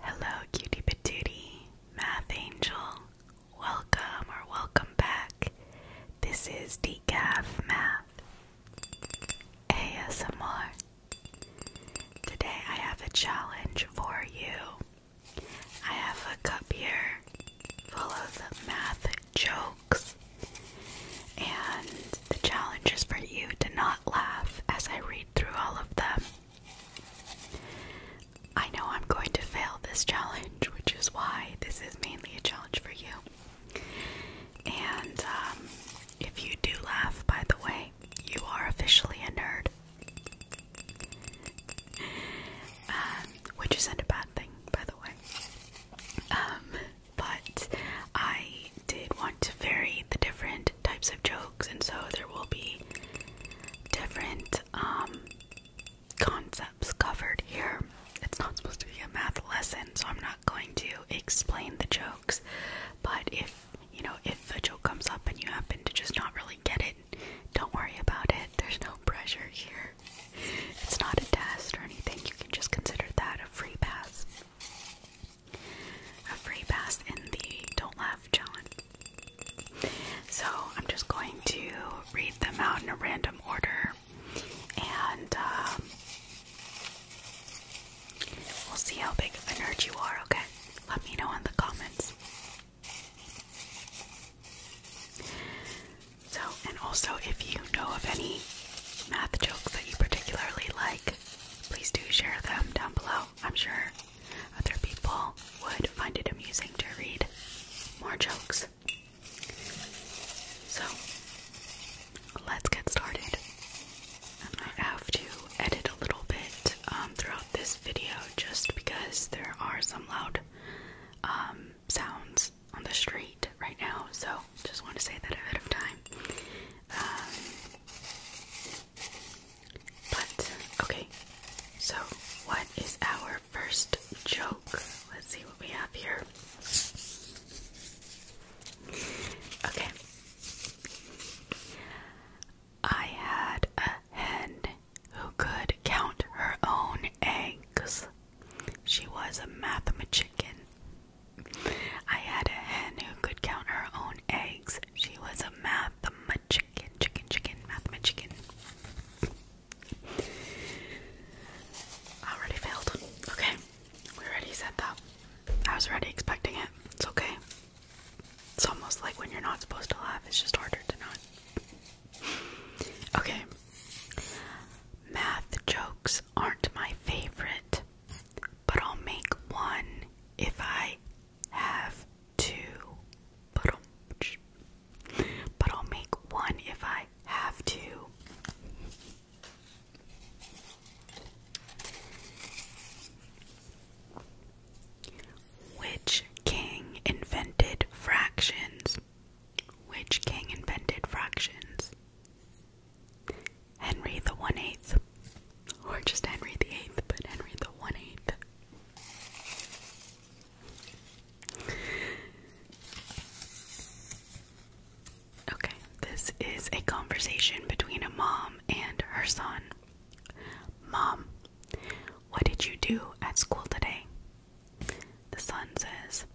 Hello, cutie patootie, math angel. Welcome or welcome back. This is Decaf Math ASMR. Today I have a challenge for you. I have a cup here full of math jokes, and the challenge is for you to not laugh as I read through all of them. I know I'm going to fail this challenge, which is why this is mainly a challenge for you. And um, if you do laugh, by the way, you are officially a nerd. Um, which isn't a bad thing, by the way. Um, but I did want to vary the different types of jokes, and so there will be different um, concepts covered here. It's not supposed to be a math lesson, so I'm not going to explain the jokes. But if you know, if a joke comes up and you happen to just not really get it, don't worry about it. There's no pressure here. It's not a test or anything. You can just consider that a free pass a free pass in the Don't Laugh John. So I'm just going to read them out in a random order and um, we'll see how big of a nerd you are, okay? Let me know in the comments. So, and also if you know of any math jokes that you particularly like, please do share them down below. I'm sure other people would find it amusing to read more jokes. So, let's get started. I have to edit a little bit um, throughout this video just because there are some loud um, sounds on the street right now, so just want to say that ahead of time. Um, but okay, so what is our first joke? Let's see what we have here. Okay. I had a hen who could count her own eggs. She was a mathematician. I had a hen who could count her own eggs she was a mathematician, chicken, chicken, mathematician. I already failed. Okay, we already said that. I was already expecting it. It's okay. It's almost like when you're not supposed to laugh, it's just harder to not. Okay. Math jokes aren't my favorite, but I'll make one if I have two, but I'll, make one if I have to. Which king invented fractions? Which king invented fractions? Henry the One Eighth. Or just Henry the Eighth, but Henry the One Eighth. Okay, this is a conversation between a mom and her son. Mom, what did you do at school today? The son says,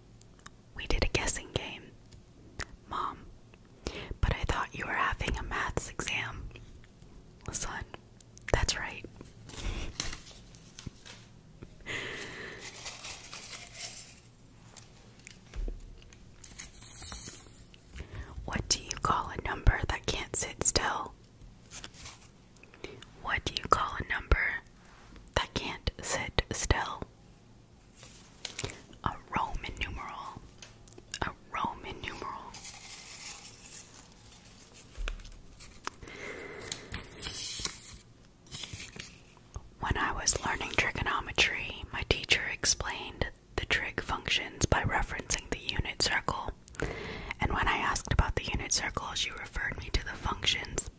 We did a guessing game. Mom, but I thought you were having a maths exam son. That's right. What do you call a number that can't sit still? What do you call a number that can't sit still? A Roman numeral. Roman numeral. When I was learning trigonometry, my teacher explained the trig functions by referencing the unit circle, and when I asked about the unit circle, she referred me to the functions.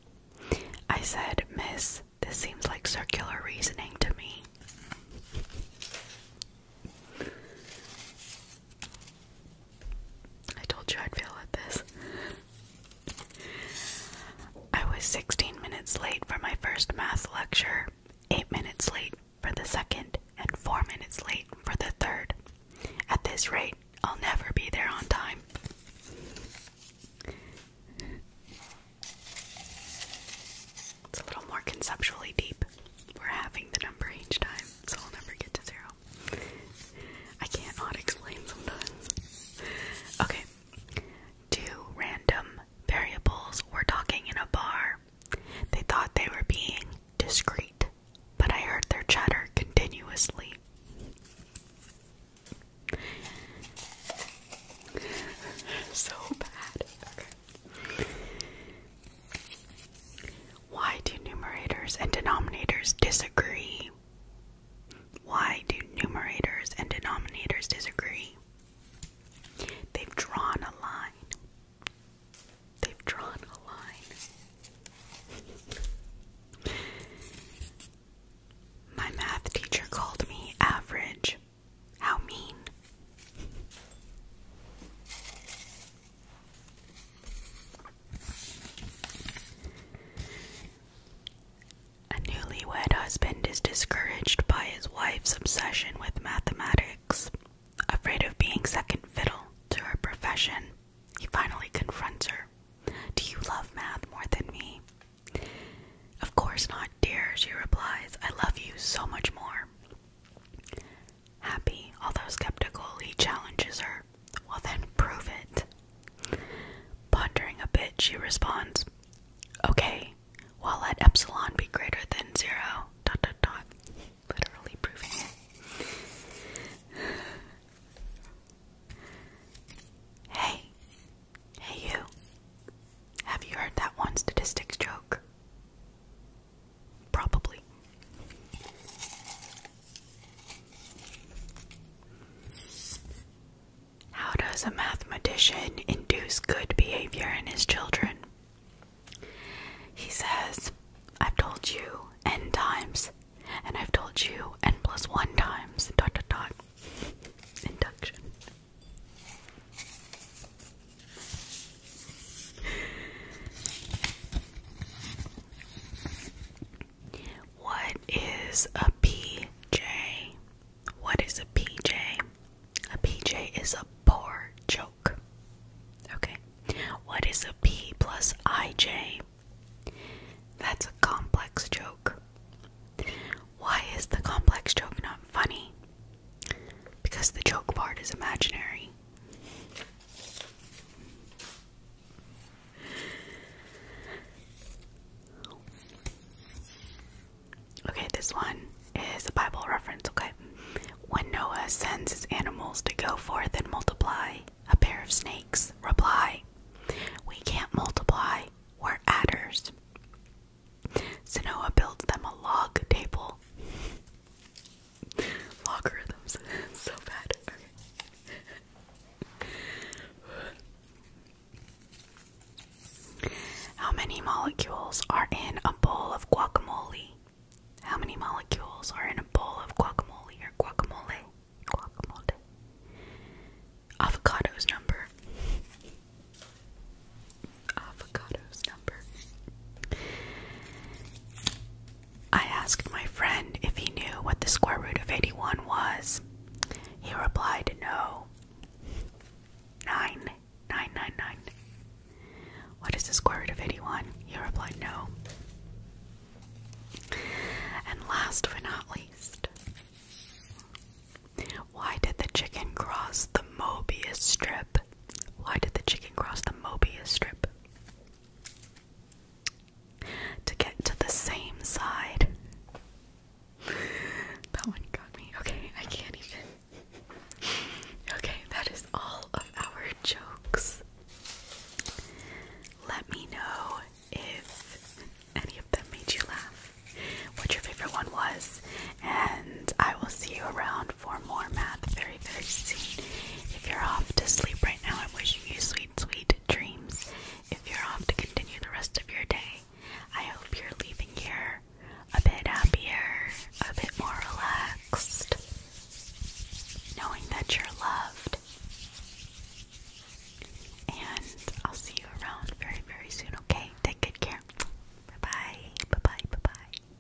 I said, Miss, this seems like circular reasoning to me. I told you I'd fail at this. I was 16 minutes late for my first math lecture, 8 minutes late for the second, and 4 minutes late for the third. At this rate, I'll never be there on time. It's a little more conceptually deep. We're having the number each time, so I'll never get to zero. I cannot explain sometimes. Okay. Two random variables were talking in a bar. They thought they were being discreet, but I heard their chatter continuously. so bad. Why do numerators and denominators disagree? Why do numerators and denominators disagree? They've drawn a line. They've drawn a line. My math teacher called me average. How mean. A newlywed husband is discouraged by his wife's obsession with mathematics. Afraid of being second fiddle to her profession, he finally confronts her. Do you love math more than me? Of course not, dear, she replies. I love you so much more. Happy, although skeptical, he challenges her. Well, then prove it. Pondering a bit, she responds, Okay, well, let epsilon be greater than zero. Dot dot dot. Literally proving it. hey, hey, you. Have you heard that one statistics joke? Probably. How does a mathematician induce good behavior in his children? He says, I've told you n times, and I've told you n plus 1 times, dot dot dot. Induction. What is a PJ? What is a PJ? A PJ is a poor joke. Okay. What is a P plus IJ? That's a complex joke. Why is the complex joke not funny? Because the joke part is imaginary. Okay, this one is a Bible reference, okay? When Noah sends his animals to go forth and multiply, a pair of snakes reply, We can't multiply, we're adders. So Noah builds them a log table logarithms so bad. How many molecules are in a bowl of guacamole? How many molecules are in a bowl of guacamole or guacamole? Guacamole. Avocado's number avocado's number. I asked my friend if he knew what the square root of 81 was. He replied, No. 9. What is the square root of 81? He replied, No. And last but not least, why did the chicken cross the Mobius strip? Why did the chicken cross the Mobius strip? To get to the same side. that one got me. Okay, I can't even. okay, that is all of our jokes. Let me know if any of them made you laugh, what your favorite one was, and I will see you around for more math very, soon. If you're off to sleep right now, I'm you sweet, sweet dreams. If you're off to continue the rest of your day, I hope you're leaving here a bit happier, a bit more relaxed, knowing that you're loved. And I'll see you around very, very soon, okay? Take good care. bye, bye bye, bye bye.